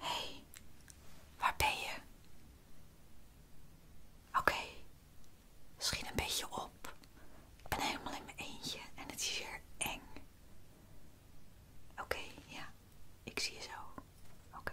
hey, waar ben je? Oké, misschien een beetje op. Ik ben helemaal in mijn eentje en het is hier eng. Oké, ja, ik zie je zo. Oké.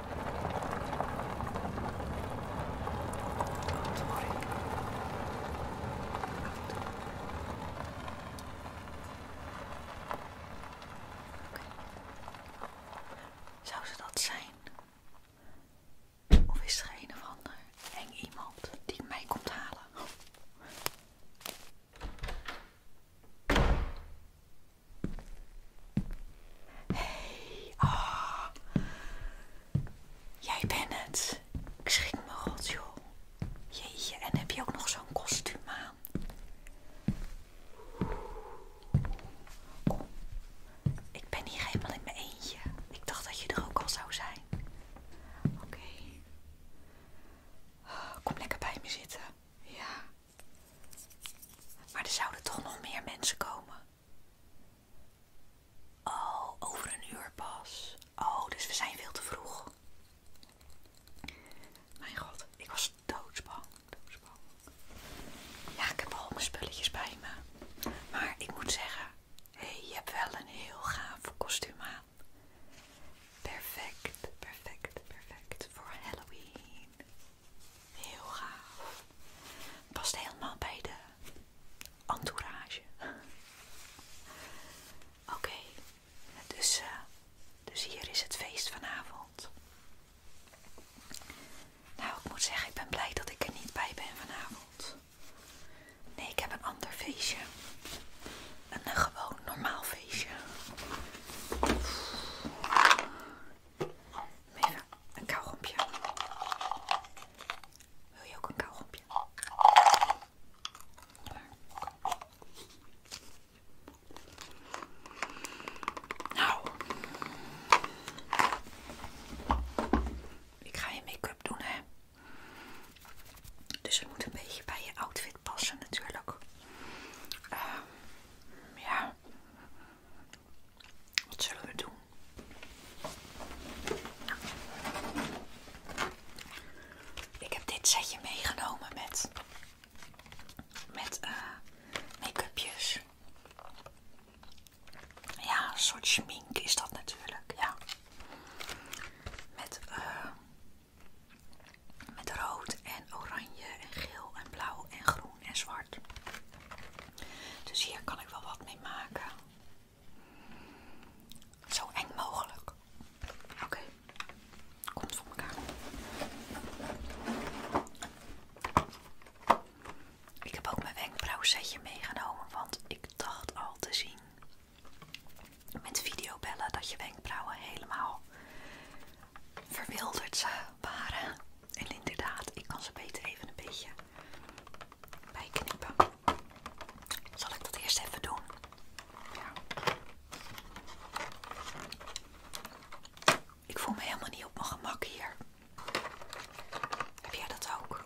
Zou ze dat zijn? Of is er een of ander eng iemand die mij komt halen? Hey, ah Jij bent het. Ik schrik me rot, joh. Jeetje, en heb je ook nog zo'n kostuum aan? ik ben hier helemaal in mijn eentje. Ik dacht dat je er ook al zou zijn. Oké. Kom lekker bij me zitten. Ja. Maar er zouden toch nog meer mensen komen. Oh, over een uur pas. Oh, dus we zijn veel te vroeg. Mijn god, ik was doodsbang. Ja, ik heb al mijn spulletjes bij me. Maar ik moet zeggen, je hebt wel een heel gaaf kostuum aan. Perfect, perfect, perfect voor Halloween. Heel gaaf. Past helemaal bij de entourage. Oké, dus, eh, dus hier is het feest vanavond. Nou, ik moet zeggen, ik ben blij dat ik er niet bij ben vanavond. Nee, ik heb een ander feestje. Een, eh, gewoon normaal feestje. Even een kauwgompje. Wil je ook een kauwgompje? Nou. Ik ga je make-up doen, hè. Dus het moet een beetje bij je outfit passen natuurlijk. Ehm ja. Wat zullen we doen? Nou, ik heb dit setje meegenomen met, met eh, make-upjes. Ja, een soort schmink is dat natuurlijk, ja. Met, eh, met rood en oranje en geel en blauw en groen en zwart. Dus hier kan ik wel wat mee maken. Zo eng mogelijk. Oké, komt voor elkaar. Ik heb ook mijn wenkbrauwsetje meegenomen, want ik dacht al te zien met videobellen dat je wenkbrauwen helemaal verwilderd waren. En inderdaad, ik kan ze beter even een beetje bijknippen. Zal ik dat eerst even doen? Ik voel me helemaal niet op mijn gemak hier. Heb jij dat ook?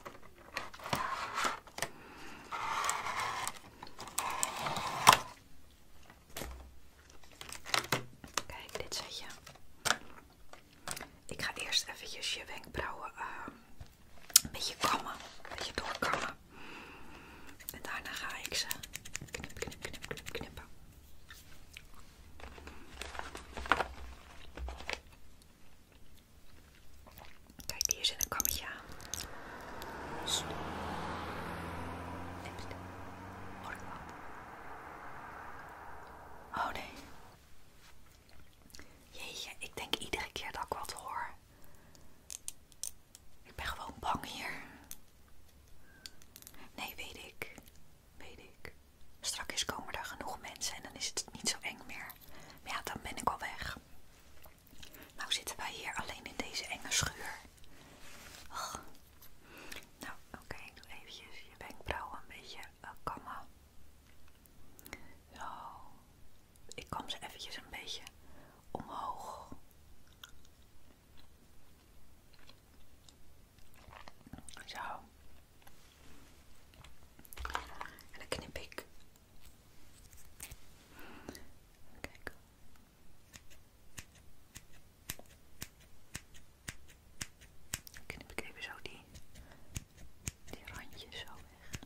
Kijk, dit zet je. Ik ga eerst eventjes je wenkbrauwen ehm, een beetje kammen. Een beetje doorkammen. En daarna ga ik ze knip, knip, knip, knip, knippen. Kijk, hier zit een kammetje aan. Hoor Nipste. Normaal. Oh nee. Jeetje, ik denk iedere keer dat ik wat hoor. Ik ben gewoon bang hier. Nee, weet ik. Weet ik. Straks komen er genoeg mensen en dan is het niet zo eng meer. Maar ja, dan ben ik al weg. Nou zitten wij hier alleen in deze enge schuur. Oh. Nou, oké, doe eventjes je wenkbrauw een beetje eh, kammen. Zo. Ik kom ze eventjes een beetje omhoog. Zo. En dan knip ik. Kijk. Knip ik even zo die, die randjes zo weg.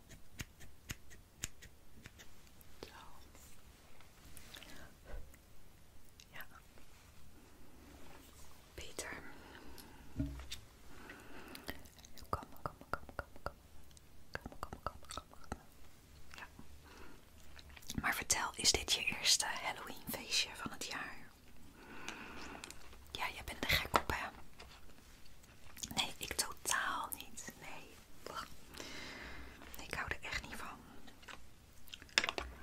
Zo. Ja. Beter. Kom, kom, kom, kom, kom, kom, kom, kom, kom, kom, kom, kom. Ja. Maar vertel, is dit je eerste Halloween feestje van het jaar? Ja, jij bent er gek op, hè? Nee, ik totaal niet. Nee. ik hou er echt niet van.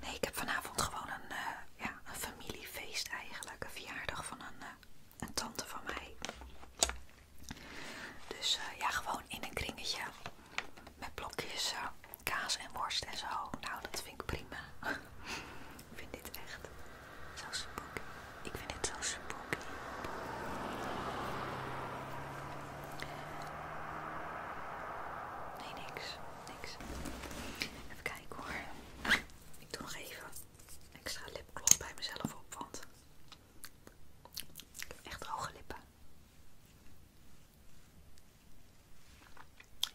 Nee, ik heb vanavond gewoon een, eh, ja, een familiefeest eigenlijk. Een verjaardag van een, eh, tante van mij. Dus eh, ja, gewoon in een kringetje. Met blokjes. zo kaas en worst en zo. Nou, dat vind ik prima. ik vind dit echt zo spooky. Ik vind dit zo spooky. Nee, niks. Niks. Even kijken hoor. Ik doe nog even extra lipgloss bij mezelf op, want ik heb echt hoge lippen.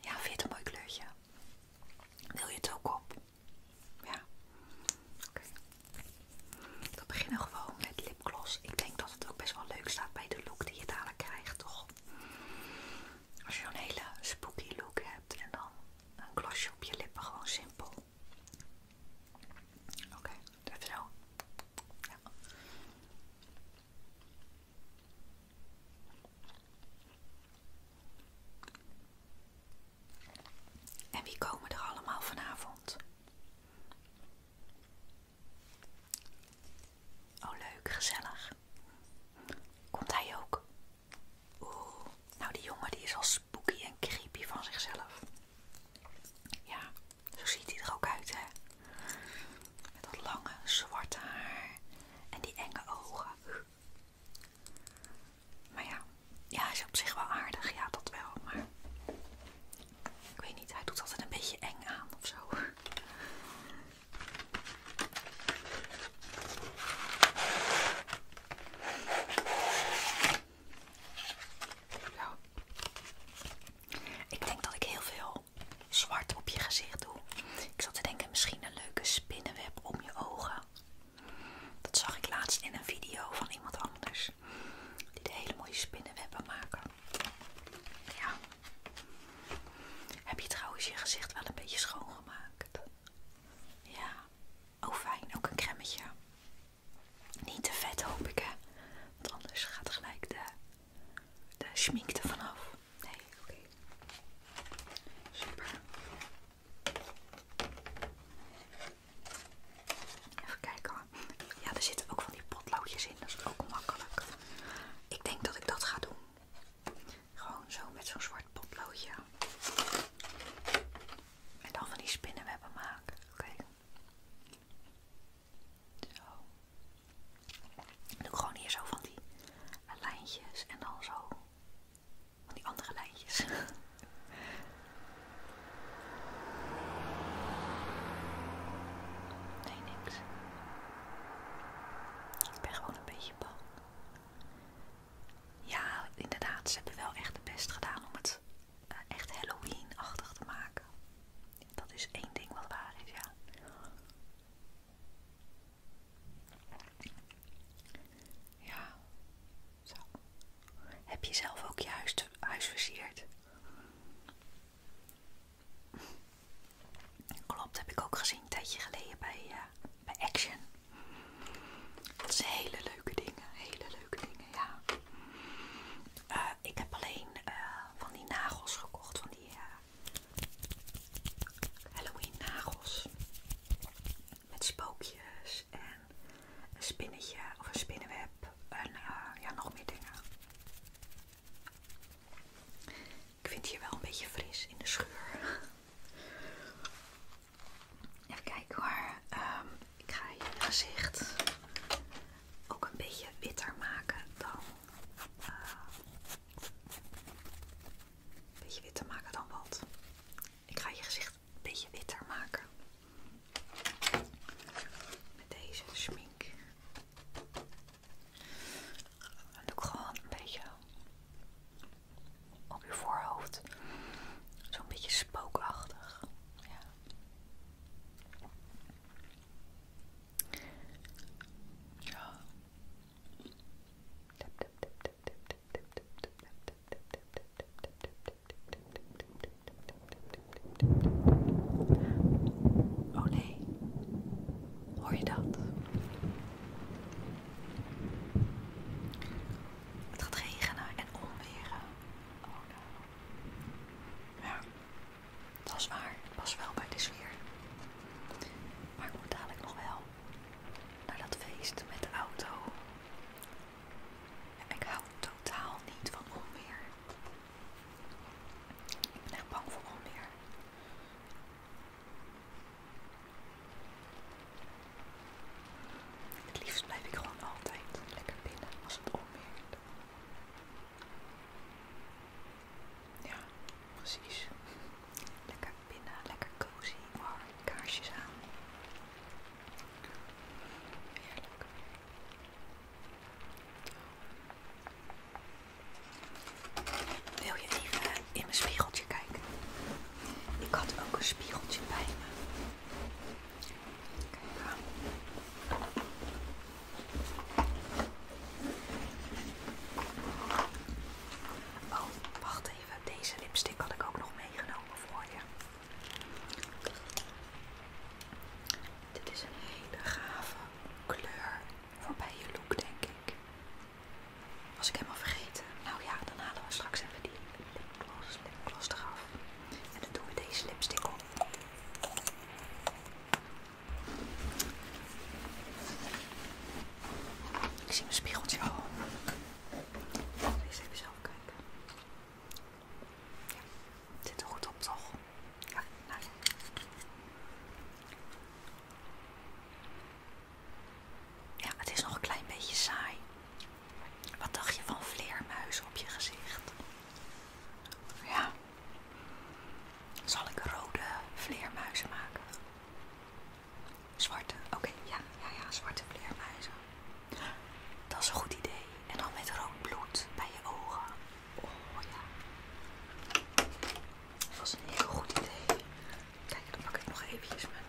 Ja, vind je het een mooi kleurtje? Wil je het ook op? Ja. Oké. We beginnen gewoon met lipgloss. Ik denk dat het ook best wel leuk staat bij de look die je dadelijk krijgt, toch? Als je een hele spooky look hebt en dan een glossje op je lippen, gewoon simpel. Oké, dat is zo. Ja. En wie komen er allemaal vanavond? Oh leuk, gezellig. Komt hij ook? Oeh, nou die jongen die is al spooky en creepy van zichzelf. Ja, zo ziet hij er ook uit, hè? Met dat lange zwarte haar en die enge ogen. Maar ja, ja, hij is op zich wel aardig, ja, dat wel. Maar ik weet niet, hij doet altijd een beetje eng aan of zo. Ik denk dat ik heel veel zwart op je gezicht doe. Ik zat te denken, misschien een leuke spinnenweb om je ogen. Dat zag ik laatst in een video van iemand anders. Die de hele mooie spinnenwebben maken. Ja. Heb je trouwens je gezicht wel een beetje schoongemaakt? Ja. Oh fijn, ook een cremmetje. Niet te vet hoop ik hè. Want anders gaat gelijk de de schminkte er vanaf. Nee, oké. Super. Even kijken Ja, er zitten ook van die potloodjes in. Dat is ook makkelijk. Ik denk dat ik dat ga doen. Gewoon zo met zo'n zwart potloodje. En dan van die spinnenwebben maken. Oké. Zo. Doe gewoon hier zo van die lijntjes en dan zo van die andere lijntjes. Nee, niks. Ik ben gewoon een beetje bang. Ja, inderdaad, ze hebben wel echt het best gedaan om het eh, echt Halloween-achtig te maken. Dat is één ding wat waar is, ja. Ja, zo. Heb je zelf ook juist huis, Klopt, dat Klopt, heb ik ook gezien een tijdje geleden bij, eh, bij Action. Dat zijn hele leuke dingen, hele leuke dingen, ja. Eh, ik heb alleen eh, van die nagels gekocht, van die eh, Halloween nagels. Met spookjes en een spinnetje of een spinnenweb en ja, nog meer dingen. Ik vind hier wel een beetje fris in de schuur. Even kijken hoor. ehm. Ik ga je gezicht ook een beetje witter maken dan. Eh, een beetje witter maken dan wat. Ik ga je gezicht een beetje witter maken. Met deze schmink. Dan doe ik gewoon een beetje op je voorhoofd. Zo'n beetje spookachtig. Ja. Oh nee, hoor je dat? Het gaat regenen en onweren. Oh ja, dat waar. wel bij de sfeer. Maar ik moet dadelijk nog wel naar dat feest met de auto. Ik hou totaal niet van onweer. Ik ben echt bang voor onweer. Het liefst blijf ik gewoon altijd lekker binnen als het onweer. Ja, precies. Lekker binnen, lekker cozy, maar kaarsjes aan. Heerlijk. Wil je even in mijn spiegeltje kijken? Ik had ook een spiegeltje bij me. Oh, wacht even. Deze lipstick had ik ook nog meegenomen voor je. Dit is een hele gave kleur voor bij je look, denk ik. Was ik helemaal vergeten. Nou ja, dan halen we straks even die lipgloss, lipgloss eraf. En dan doen we deze lipstick op. Ik zie mijn spiegeltje al. Eens even zelf kijken. het zit er goed op toch? Nou ja, het is nog een klein beetje saai. Wat dacht je van vleermuizen op je gezicht? Ja. Zal ik rode vleermuizen maken? Zwarte, oké, ja, ja, ja, zwarte vleermuizen. Dat is een goed idee. En dan met rood bloed bij je ogen. Oh ja. Dat was een heel goed idee. Kijk, dan pak ik nog eventjes mijn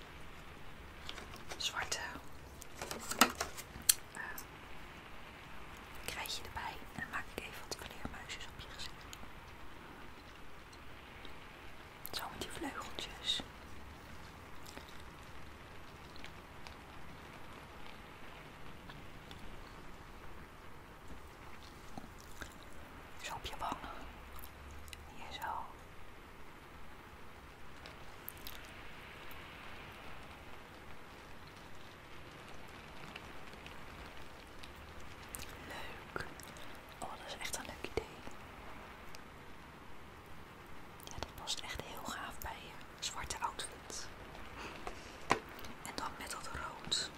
zwarte eh, Krijg je erbij en dan maak ik even wat vleermuisjes op je gezicht. Zo met die vleugeltjes. Zo op je wangen. Hier zo. Leuk. Oh, dat is echt een leuk idee. Ja, dat past echt heel gaaf bij je eh, zwarte outfit. En dan met dat rood.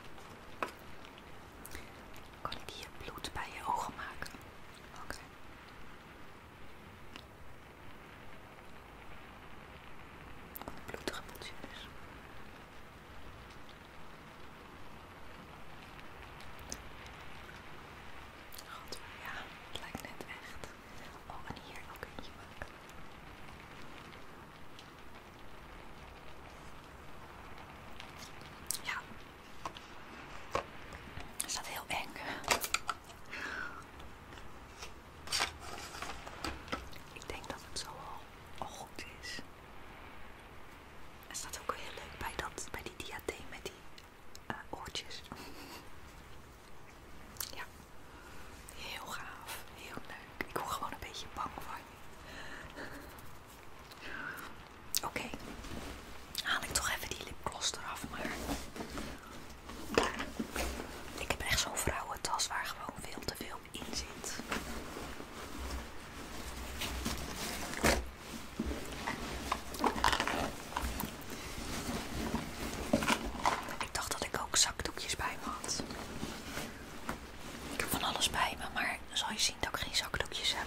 Kan ik hier bloed bij je ogen maken? Oké. Wat een dus. God, ja, het lijkt net echt. Oh, en hier ook een Ja. Is dat heel ik denk dat het zo al goed is. Het staat ook heel leuk bij, dat, bij die diadeem met die eh, oortjes. Ja, heel gaaf, heel leuk. Ik word gewoon een beetje bang van je. Oké, haal ik toch even die lipgloss eraf, maar ik heb echt zo'n vrouwentas waar gewoon veel te veel in zit. Ik dacht dat ik ook zakdoekjes bij me had. Ik heb van alles bij me, maar dan zal je zien dat ik geen zakdoekjes heb.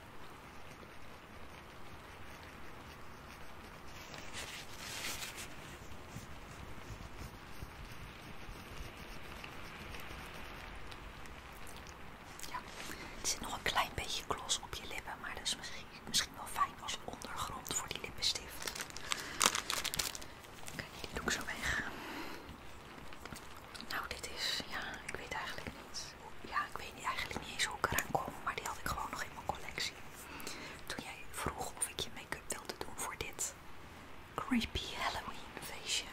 Ja, er zit nog een klein beetje gloss op je lippen, maar dat is misschien, misschien wel fijn als ondergrond voor die lippenstift. Kijk, die ook zo weg. Nou, dit is, ja, ik weet eigenlijk niet. Ja, ik weet niet, eigenlijk niet eens hoe ik eraan kom, maar die had ik gewoon nog in mijn collectie. Toen jij vroeg of ik je make-up wilde doen voor dit creepy Halloween feestje,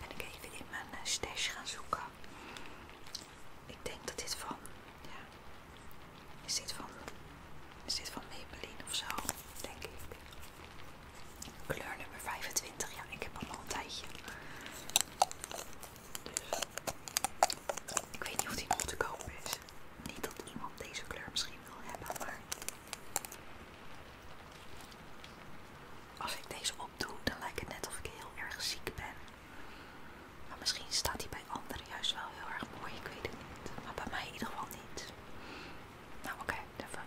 ben ik even in mijn eh, stash gaan zoeken. Ik denk dat dit van, ja, is dit van, is dit van Maybelline of zo, denk ik. Kleur nummer 25, ja, ik heb hem al een tijdje ik weet niet of die nog te koop is. Niet dat iemand deze kleur misschien wil hebben, maar als ik deze opdoe, dan lijkt het net of ik heel erg ziek ben. Maar misschien staat die bij anderen juist wel heel erg mooi, ik weet het niet. Maar bij mij in ieder geval niet. Nou oké, even.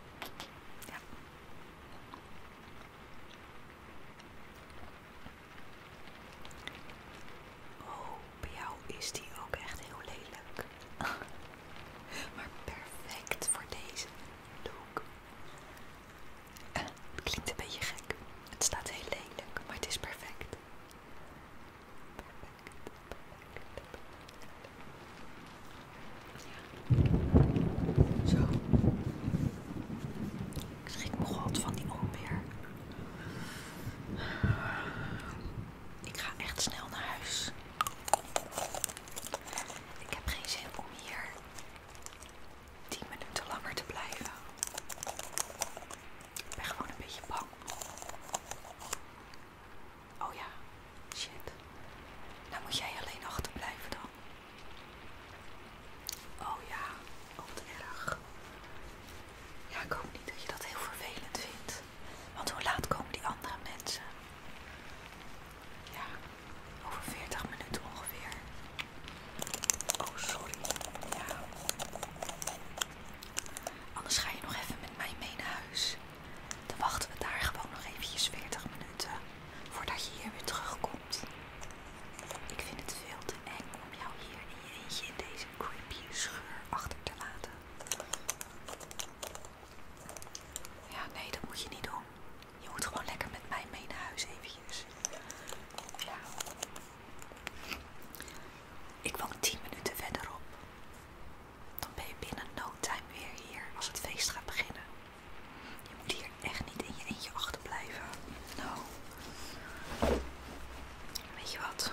Ja. Oh, bij jou is die ook echt heel lelijk. maar perfect voor deze look. klinkt een beetje gek. Het staat heel lelijk, maar het is perfect. Zo. Ik schrik me god van die onweer. Ik ga echt snel naar huis. Ik heb geen zin om hier 10 minuten langer te blijven. Ik ben gewoon een beetje bang. Oh ja, shit. Dan nou moet jij alleen achterblijven dan. Oh ja, oh, wat erg. Ja, ik hoop niet dat je dat heel vervelend vindt. Want hoe laat komen die andere mensen? Ja, over 40 minuten ongeveer. Oh, sorry. Ja. Anders ga je nog even met mij mee naar huis. Dan wachten we daar gewoon nog eventjes 40 minuten voordat je hier weer terugkomt. Ik vind het veel te eng om jou hier in je eentje in deze creepy schuur achter te laten. Ja, nee, dat moet je niet doen. Je moet gewoon lekker met mij mee naar huis eventjes. Ja. Ik woon 10 minuten verderop. Dan ben je binnen no time weer hier als het feest gaat beginnen. Je moet hier echt niet in je eentje achterblijven. Nou. Weet je wat?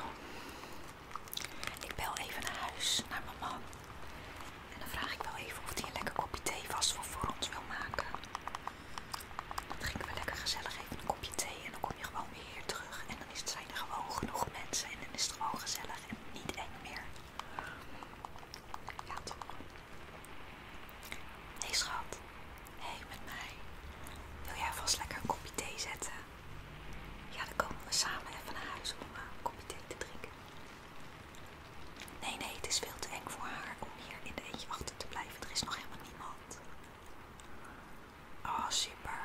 Ik bel even naar huis, naar mijn man. En dan vraag ik wel even of hij een lekker kopje thee vast voor, ons wil maken. Dan drinken we lekker gezellig even een kopje thee en dan kom je gewoon weer hier terug. En dan is het, zijn er gewoon genoeg mensen en dan is het gewoon gezellig en niet eng meer. Ja toch? Nee, hey, schat, hé hey, met mij. Wil jij vast lekker een kopje thee zetten? Ja, dan komen we samen even naar huis om eh, een kopje thee te drinken. Nee, nee, het is veel te eng voor haar om hier in de eentje achter te blijven. Er is nog helemaal niemand. Oh, super.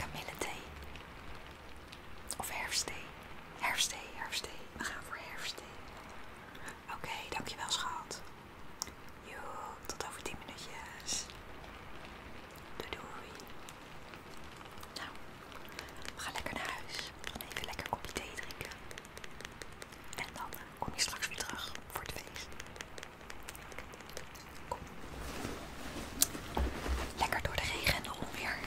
Kamille thee. Of herfstthee. Herfsthee, herfstthee. We gaan voor herfstthee. Oké, dankjewel schat. Jo, tot over 10 minuutjes. Doei doei. Nou, we gaan lekker naar huis. We even lekker kopje thee drinken. En dan eh, kom je straks weer terug voor het feest. Kom. Lekker door de regen en de onweer.